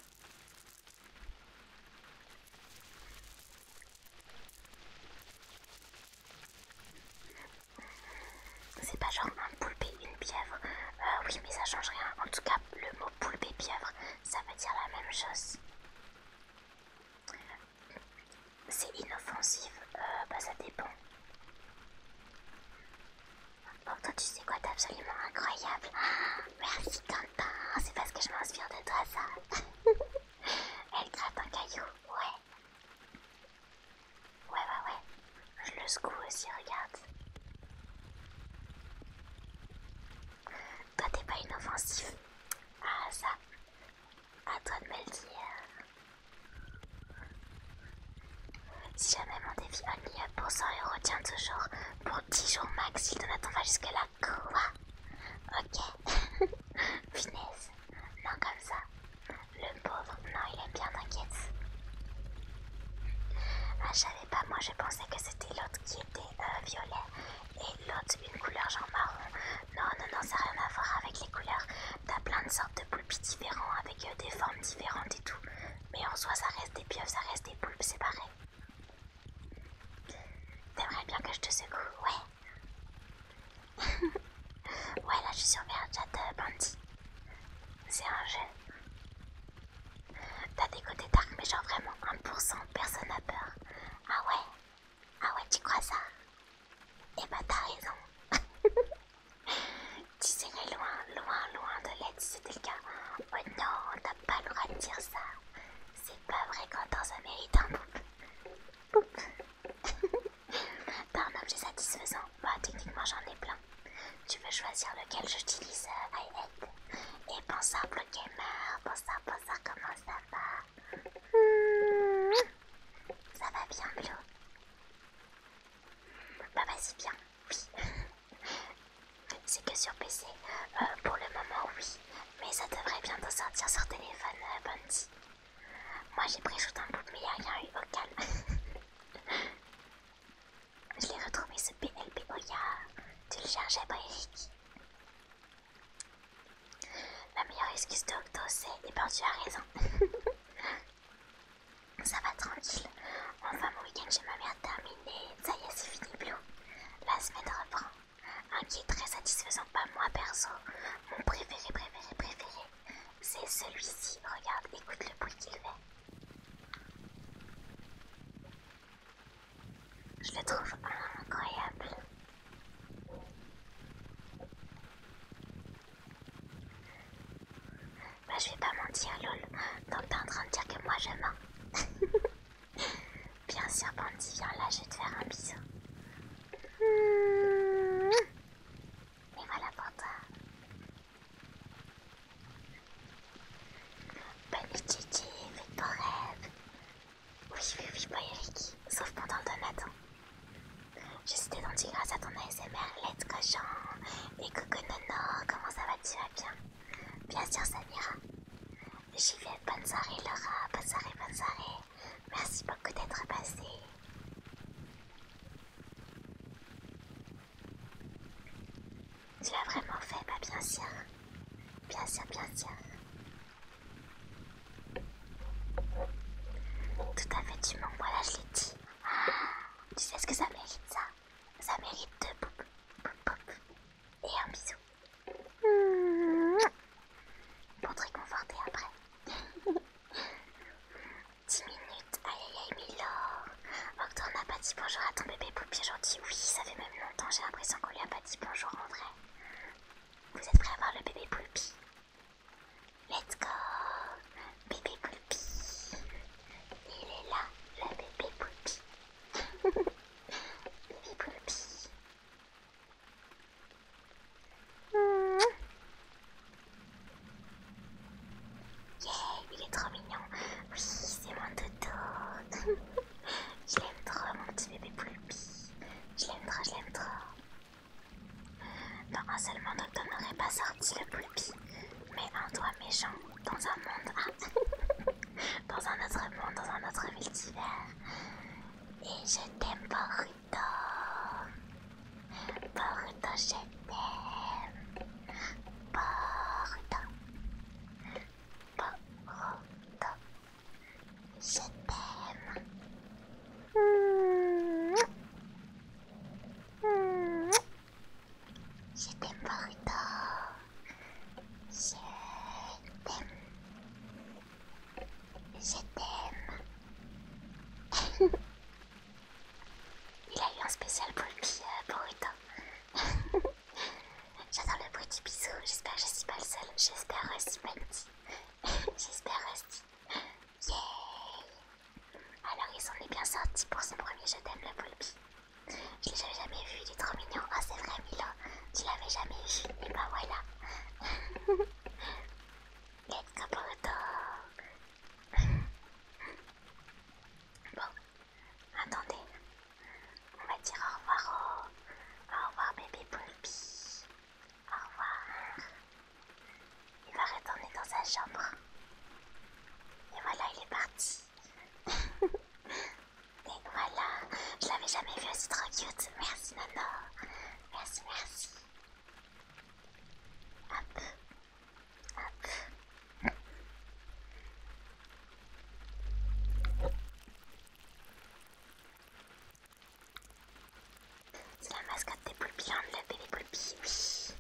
C'est pas genre un poulpe une pièvre euh, oui, mais ça change rien. En tout cas, le mot poulpe et ça veut dire la même chose. C'est inoffensif. Euh, bah, ça dépend. Bon, toi, tu sais quoi, t'es absolument incroyable. [gasps] merci, c'est parce que je m'inspire de toi ça. [laughs] Elle gratte un caillou, ouais. Ouais, ouais, ouais. Je le secoue aussi, regarde. Toi, t'es pas inoffensif. Ah, ça. À toi de me le dire. Si jamais mon défi Only Up pour 100 euros tient toujours, pour 10 jours max, il le donaton va jusque-là, quoi Ok. Finesse. [laughs] Non, comme ça. Le pauvre, non, il est bien, t'inquiète. Ah, je savais pas, moi je pensais que c'était l'autre qui était euh, violet et l'autre une couleur genre marron. Non, non, non, ça n'a rien à voir avec les couleurs. T'as plein de sortes de poulpes différents avec euh, des formes différentes et tout. Mais en soi, ça reste des pieuvres, ça reste des poulpes, c'est pareil. T'aimerais bien que je te secoue, ouais [laughs] Ouais, là je suis sur Chat euh, Bandit. C'est un jeu. T'as des côtés dark, mais genre vraiment 1%, personne n'a peur. Ah ouais Ah ouais, tu crois ça Eh bah ben, t'as raison. [laughs] tu serais loin, loin, loin de l'aide si c'était le cas. Oh non, t'as pas le droit de dire ça. C'est pas vrai, on ça mérite un boop. Pas un objet satisfaisant. Bah, techniquement, j'en ai plein. Tu veux choisir lequel j'utilise euh, Et hate. ça bonsoir, Blue Gamer. Bonsoir, bonsoir, comment ça va hmm. Ça va bien, Blue Bah, vas-y, bien. Oui. C'est que sur PC, euh, pour le moment oui, mais ça devrait bientôt sortir sur téléphone euh, Bunty. Moi j'ai pris shoot un bout mais il n'y a rien eu au calme. [laughs] Je l'ai retrouvé ce PLP, oh Tu le cherchais pas Eric La meilleure excuse de Octo c'est, et eh ben tu as raison. [laughs] Ça va tranquille. Enfin mon week-end chez ma mère terminé. Ça y est c'est fini Blue. La semaine reprend. Un qui est très satisfaisant, pas moi perso. Mon préféré, préféré, préféré, c'est celui-ci. Regarde, écoute le bruit qu'il fait. Je le trouve incroyable. Bah, je vais pas mentir, lol. Donc, t'es en train de dire que moi je [laughs] Bien sûr, Bandy, viens là, je vais te faire un bisou. Hmm. Et voilà pour toi. Bonne nuit, Gigi, ton beaux Oui, oui, oui, boy sauf pendant le donaton. Je suis détendue grâce à ton ASMR, let's cochon. Et coucou Nono, comment ça va, tu vas bien Bien sûr, Samira vais. bonne soirée Laura, bonne soirée, bonne soirée. Merci beaucoup d'être passé. Tu l'as vraiment fait, bah bien sûr. Bien sûr, bien sûr. Tout à fait, tu mens, voilà, je l'ai dit. Ah, tu sais ce que ça mérite, ça Ça mérite de boop boop Et un bisou. Pour te réconforter après. 10 [laughs] minutes, aïe aïe aïe, Milord. Octor n'a pas dit bonjour à ton bébé poupée gentil. Oui, ça fait même longtemps, j'ai l'impression qu'on lui a pas dit bonjour en vrai. Vous êtes prêts à voir le bébé poulpi Let's go Bébé poulpi Il est là, le bébé poulpi [laughs] bébé poulpi Yeah, il est trop mignon. Oui, c'est mon dodo. je [laughs] l'aime trop, mon petit bébé Poulpi. Je l'aime trop, je l'aime trop. Non, un seul monde, n'aurait pas sorti le Poulpi, mais un doigt méchant dans un monde, [laughs] dans un autre monde, dans un autre multivers. Et je t'aime, Boruto. Boruto, je t'aime. Boruto. Boruto. Je t'aime. Je t'aime, Boruto. Je t'aime. Je t'aime. Il a eu un spécial pour lui, pour J'adore le bruit du bisou. J'espère que je suis pas le seul. J'espère Rusty m'a [laughs] J'espère Rusty. Yeah. Alors ils en est bien sorti pour ce premier je t'aime le poulpi. Je l'ai jamais vu, il est trop mignon. Ah c'est vrai, Milo, tu l'avais jamais vu. Et bah voilà. [laughs] Let's go, [laughs] Bon, attendez. On va dire au revoir au, revoir, bébé Pulpy Au revoir. Il va retourner dans sa chambre. Et voilà, il est parti. [laughs] Et voilà, je l'avais jamais vu aussi trop cute. Merci Nano. Merci, merci. C'est la mascotte des poulpillandes, hein, le bébé poulpi, oui.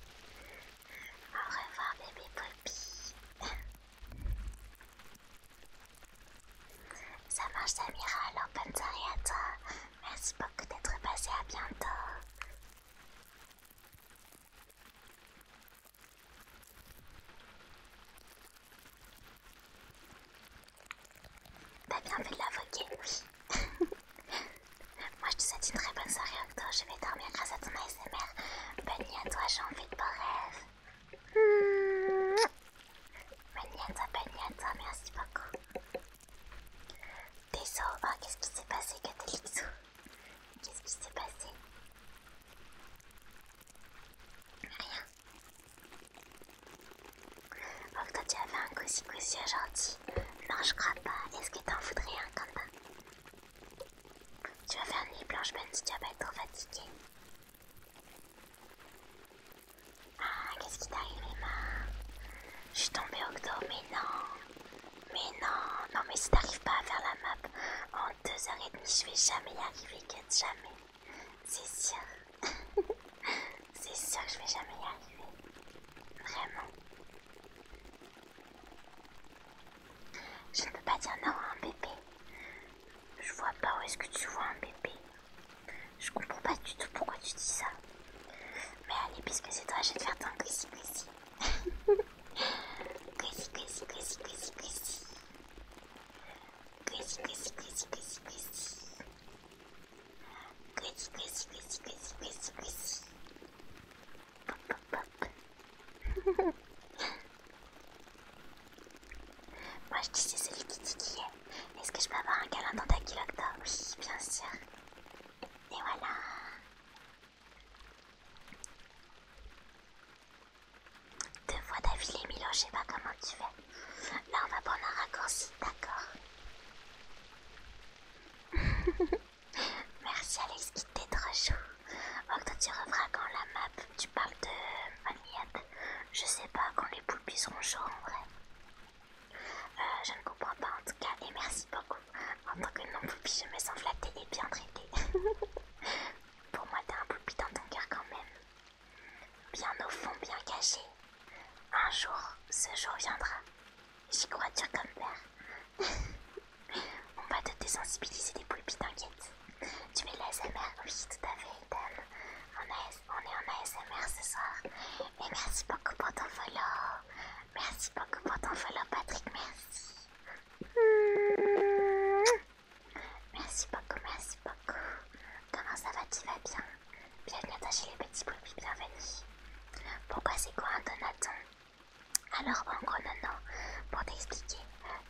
Au revoir bébé poulpi. [laughs] Ça marche Samira, alors bonne soirée à toi. Merci beaucoup d'être passé, à bientôt. T'as bien fait de l'invoquer, Moi je te souhaite une très bonne soirée Octo, je vais dormir grâce à ton ASMR. Bonne nuit à toi, j'ai envie de beaux rêves. Magnata, Magnata, merci beaucoup. Désolée, ah, qu'est-ce qui s'est passé, Catalixou Qu'est-ce qui s'est passé Rien. Oh, toi tu fait un coussi coussi aujourd'hui. Non, je crois pas. Est-ce que t'en voudrais un, Quentin Tu vas faire une nuit blanche, même si tu vas pas être trop fatigué. Ah, qu'est-ce qui t'arrive, Emma Je suis tombée au mais non. Mais non, non, mais si t'arrives pas à faire la map en deux heures et demie, je vais jamais y arriver, quitte jamais. C'est sûr. [laughs] C'est sûr que je vais jamais y arriver. Vraiment. Je ne peux pas dire non à un bébé. Je vois pas où est-ce que tu vois un bébé. Je comprends pas du tout pourquoi tu dis ça. Mais allez, puisque c'est toi, je te faire ton gris si coussi [laughs] Moi je dis c'est celui qui dit qui est. Est-ce que je peux avoir un câlin dans ta culotte ah Oui, bien sûr. Et voilà. Deux fois d'affilée, Milo, je sais pas comment tu fais. Là, on va prendre un raccourci, d'accord [laughs] Merci Alex qui t'est trop chaud. Oh, quand tu reverras quand la map, tu parles de Amiette. Je sais pas quand les poulpes seront chauds en vrai. Euh, je ne comprends pas en tout cas, et merci beaucoup. En tant que non-poulpie, je me sens flattée et bien traitée. [laughs] Pour moi, t'as un poulpie dans ton cœur quand même. Bien au fond, bien caché. Un jour, ce jour viendra. J'y crois dur comme père. [laughs] On va te désensibiliser des poulpes, t'inquiète. Tu mets l'ASMR Oui, tout à fait, On, est, on est en ASMR ce soir. Et merci beaucoup pour ton follow. Merci beaucoup pour ton follow, Patrick. Merci. Merci beaucoup, merci beaucoup. Comment ça va Tu vas bien Bienvenue à ta chez les petits poulpes, bienvenue. Pourquoi c'est quoi un donaton Alors, encore gros, non, non, pour t'expliquer,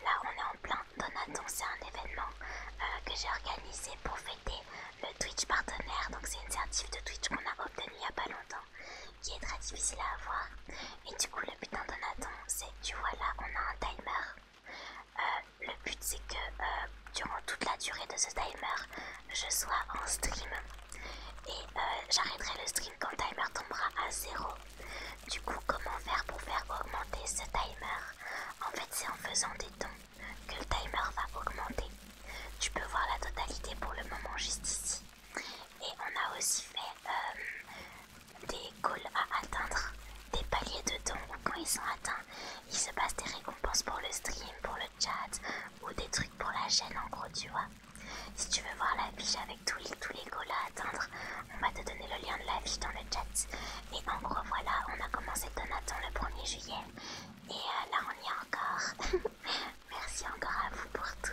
là on est en plein Donaton, c'est un événement euh, que j'ai organisé pour fêter le Twitch partenaire. Donc, c'est une certif de Twitch qu'on a obtenu il n'y a pas longtemps, qui est très difficile à avoir. Et du coup, le but d'un Donaton, c'est tu vois là, on a un timer. Euh, le but, c'est que euh, durant toute la durée de ce timer, je sois en stream. Et j'arrêterai le stream quand le timer tombera à zéro. Du coup, comment faire pour faire augmenter ce timer En fait, c'est en faisant des dons que le timer va augmenter. Tu peux voir la totalité pour le moment juste ici. Et on a aussi fait euh, des goals à atteindre, des paliers de dons quand ils sont atteints, il se passe des récompenses pour le stream, pour le chat ou des trucs pour la chaîne en gros, tu vois. Si tu veux voir la fiche avec tous les, tous les goals à atteindre, on va te donner le lien de la vie dans le chat. Et en gros, voilà, on a commencé Donaton le 1er juillet. Et euh, là, on y est encore. [laughs] Merci encore à vous pour tout.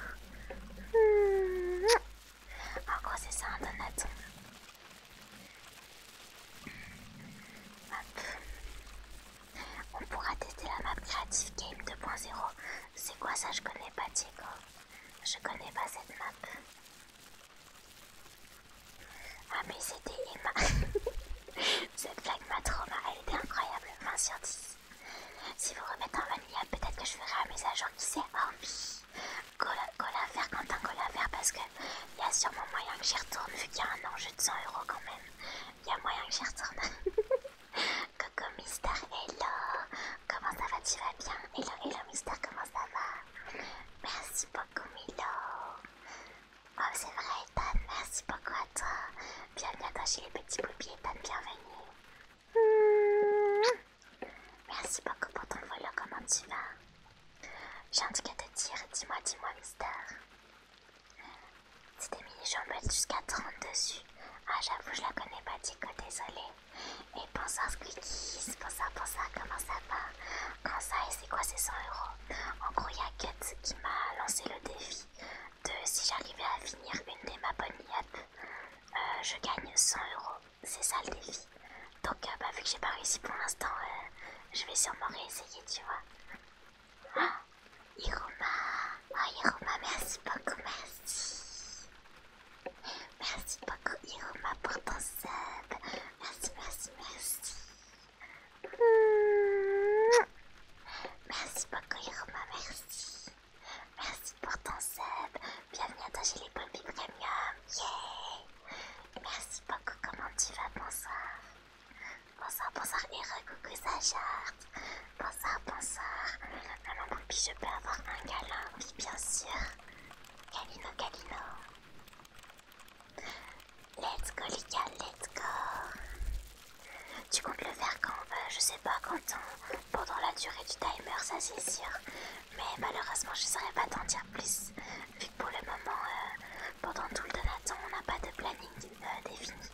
En gros, c'est ça un hein, Donaton. On pourra tester la map Creative Game 2.0. C'est quoi ça Je connais pas Diego. Je connais pas cette map. Ah mais c'était Emma [laughs] Cette blague m'a trop mal, elle était incroyable, sur Si vous remettez en vanilla, peut-être que je ferai un message en qui sait ah, oui, cola faire Quentin, gola faire parce que il y a sûrement moyen que j'y retourne vu qu'il y a un enjeu de 100 euros quand même. Il y a moyen que j'y retourne. [laughs] Coco Mister, hello Comment ça va Tu vas bien Hello, hello Mister, comment ça va Merci beaucoup Milo. Oh c'est vrai Ethan, merci beaucoup à toi. Bienvenue à toi chez les petits poupies Ethan, bienvenue. Merci beaucoup pour ton volo, comment tu vas J'ai un truc à te dire, dis-moi, dis-moi t'es C'était mini jambes jusqu'à 30 dessus. Ah j'avoue je la connais pas Dico, désolé. Et bonsoir Squeakies, bonsoir, bonsoir, comment ça va Comment ça et c'est quoi ces 100 euros En gros, il y a qui m'a lancé le défi de si j'arrivais à finir une des ma bonnes euh, je gagne 100 euros. C'est ça le défi. Donc, euh, bah, vu que j'ai pas réussi pour l'instant, euh, je vais sûrement réessayer, tu vois. Ah, oh ah, Iroma, merci beaucoup, merci. Merci beaucoup Iroma pour ton sub. Merci, merci, merci. Merci beaucoup Iroma, merci. Merci pour ton sub. Bienvenue à toi chez les Pompis Premium. Yeah. Merci beaucoup, comment tu vas Bonsoir. Bonsoir, bonsoir Héro coucou Sachard. Bonsoir, bonsoir. Maman Poppy, je peux avoir un galop Oui, bien sûr. Kalino, Kalino Let's go, Lika, let's go. Tu comptes le faire quand euh, Je sais pas, quand hein, pendant la durée du timer, ça c'est sûr. Mais malheureusement, je saurais pas t'en dire plus. Vu que pour le moment, euh, pendant tout le temps, on n'a pas de planning euh, défini.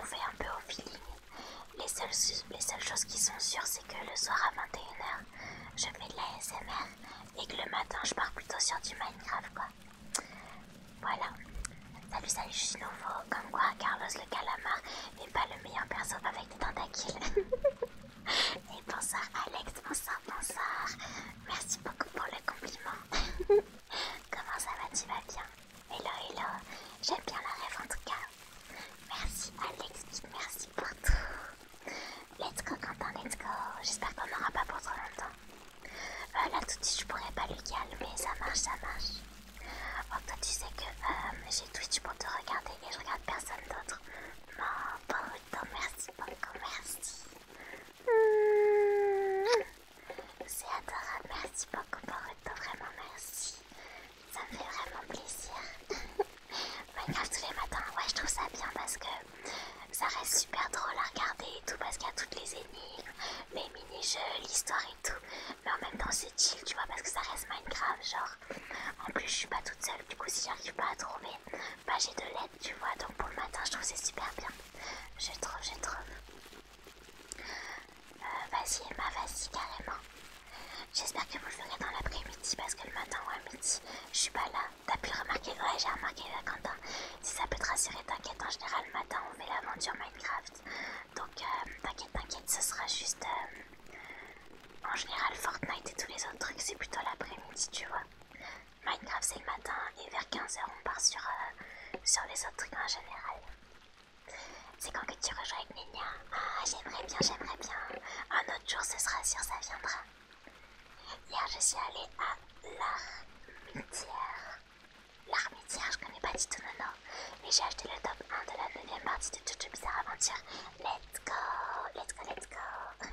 On fait un peu au feeling. Les les seules choses qui sont sûres, c'est que le soir à 21h, je fais de la SMR et que le matin je pars plutôt sur du Minecraft quoi. Voilà. Salut salut je suis nouveau, comme quoi Carlos le calamar n'est pas le meilleur perso avec des tentacules. [laughs] et bonsoir Alex, bonsoir, bonsoir. Merci beaucoup pour le compliment. [laughs] Comment ça va, tu vas bien Hello, hello, j'aime bien la rêve en tout cas. Merci Alex, merci pour tout. Let's go Quentin, let's go. J'espère qu'on n'aura pas pour trop longtemps. Euh, là tout de suite je pourrais pas lui calmer, ça marche, ça marche. Oh toi tu sais que euh, j'ai Twitch pour te regarder et je regarde personne d'autre. Oh, bon, merci beaucoup, oh, merci. Hmm. C'est adorable, merci beaucoup, oh, Boruto, vraiment merci. Ça me fait vraiment plaisir. [laughs] Minecraft tous les matins, ouais je trouve ça bien parce que ça reste super drôle à regarder et tout parce qu'il y a toutes les énigmes, les mini-jeux, l'histoire et tout. Mais en même temps c'est chill tu vois parce que ça reste Minecraft genre. En plus je suis pas toute seule du coup si j'arrive pas à trouver, bah j'ai de l'aide tu vois donc pour le matin je trouve c'est super bien. Je trouve, je trouve. Euh, vas-y Emma, vas-y carrément. J'espère que vous le ferez dans l'après-midi parce que le matin ou à midi, je suis pas là. T'as pu remarquer Ouais, j'ai remarqué là Quentin. Si ça peut te rassurer, t'inquiète, en général, le matin, on fait l'aventure Minecraft. Donc, euh, t'inquiète, t'inquiète, ce sera juste. Euh, en général, Fortnite et tous les autres trucs, c'est plutôt l'après-midi, tu vois. Minecraft, c'est le matin et vers 15h, on part sur, euh, sur les autres trucs en général. C'est quand que tu rejoins avec Nina ah, j'aimerais bien, j'aimerais bien. Un autre jour, ce sera sûr, ça viendra. Hier, je suis allée à l'Armitière. L'Armitière, je connais pas du tout non, Mais j'ai acheté le top 1 de la 9 partie de Jojo Bizarre Aventure. Let's go, let's go, let's go.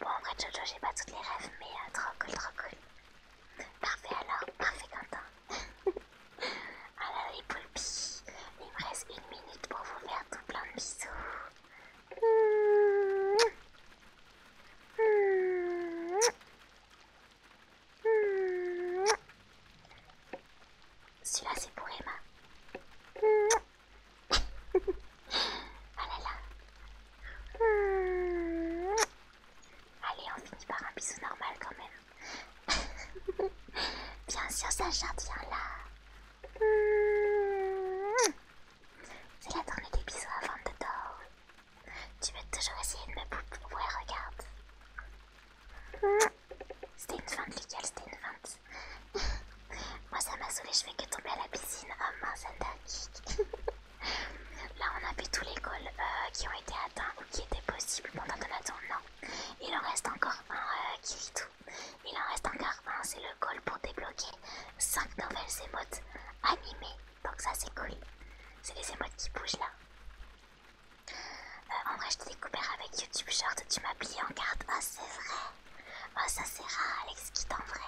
Bon, en vrai, Jojo, j'ai pas toutes les rêves, mais euh, trop cool, trop cool. Parfait alors, parfait Quentin. Alors [laughs] ah les poulpis, il me reste une minute pour vous faire tout plein de bisous. Celui-là, c'est pour Emma. Ah Allez, on finit par un bisou normal quand même. Bien sûr, chatte, bien là. C'est la tournée des bisous avant de dormir. Tu veux toujours essayer de me pouper. regarde. C'était une feinte, les c'était une feinte. [laughs] Moi, ça m'a saoulé, je fais que tomber à la piscine. Oh mince, un [laughs] Là, on a vu tous les goals euh, qui ont été atteints ou qui étaient possibles pendant ton il en reste encore un euh, qui rit. tout. Il en reste encore un, c'est le goal pour débloquer 5 nouvelles émotes animées. Donc ça c'est cool. C'est les émotes qui bougent là. Euh, en vrai je t'ai découvert avec YouTube Short, tu m'as plié en carte. Ah c'est vrai. Ah ça c'est rare Alex qui en vrai.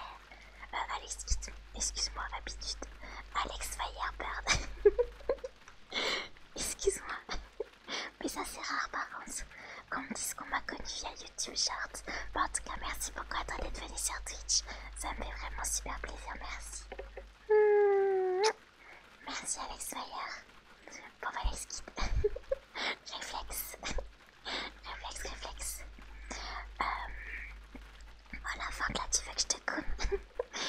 Euh, Alex excuse-moi habitude. Alex Firebird. [laughs] excuse-moi. Mais ça c'est rare par contre comme me dise qu'on m'a connu via YouTube Shorts. en tout cas, merci beaucoup à toi d'être venu sur Twitch. Ça me fait vraiment super plaisir, merci. Merci Alex Fire. Bon, bah, qui [laughs] réflexe. réflexe, réflexe. Euh... Voilà, Franck, tu veux que je te coupe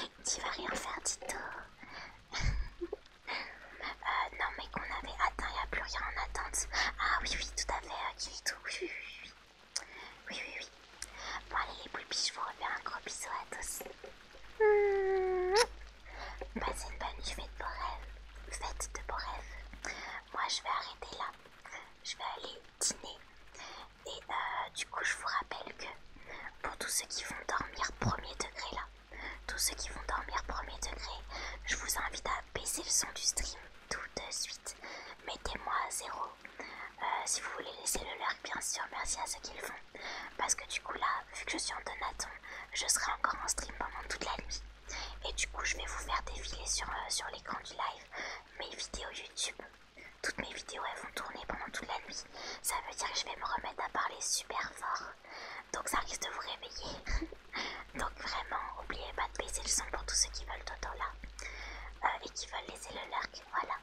[laughs] Tu vas rien faire du tout. [laughs] Euh, non, mais qu'on avait atteint, il n'y a plus rien en attente. Ah oui, oui, tout à fait, Kirito, euh, oui, oui, oui. Bon, allez, les poulpis, je vous refais un gros bisou à tous. Mmh. Passez une bonne nuit, faites de beaux rêves. Faites de Moi, je vais arrêter là. Je vais aller dîner. Et euh, du coup, je vous rappelle que pour tous ceux qui vont dormir premier degré là, tous ceux qui vont dormir premier degré, je vous invite à baisser le son du stream tout de suite. Mettez-moi à zéro. Euh, si vous voulez laisser le leur, bien sûr, merci à ceux qui le font. Parce que du coup là, vu que je suis en donaton, je serai encore en stream pendant toute la nuit. Et du coup, je vais vous faire défiler sur, euh, sur l'écran du live mes vidéos YouTube. Toutes mes vidéos elles vont tourner pendant toute la nuit. Ça veut dire que je vais me remettre à parler super fort donc ça risque de vous réveiller. [laughs] donc vraiment, n'oubliez pas de baisser le son pour tous ceux qui veulent Toto là euh, et qui veulent laisser le leur. Voilà.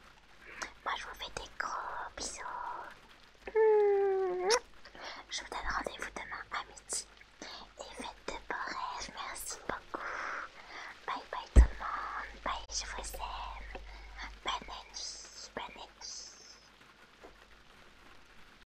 Moi je vous fais des gros bisous. Je vous donne rendez-vous demain à midi. Et faites de beaux rêves. Merci beaucoup. Bye bye tout le monde. Bye, je vous aime. Bonne nuit. Bonne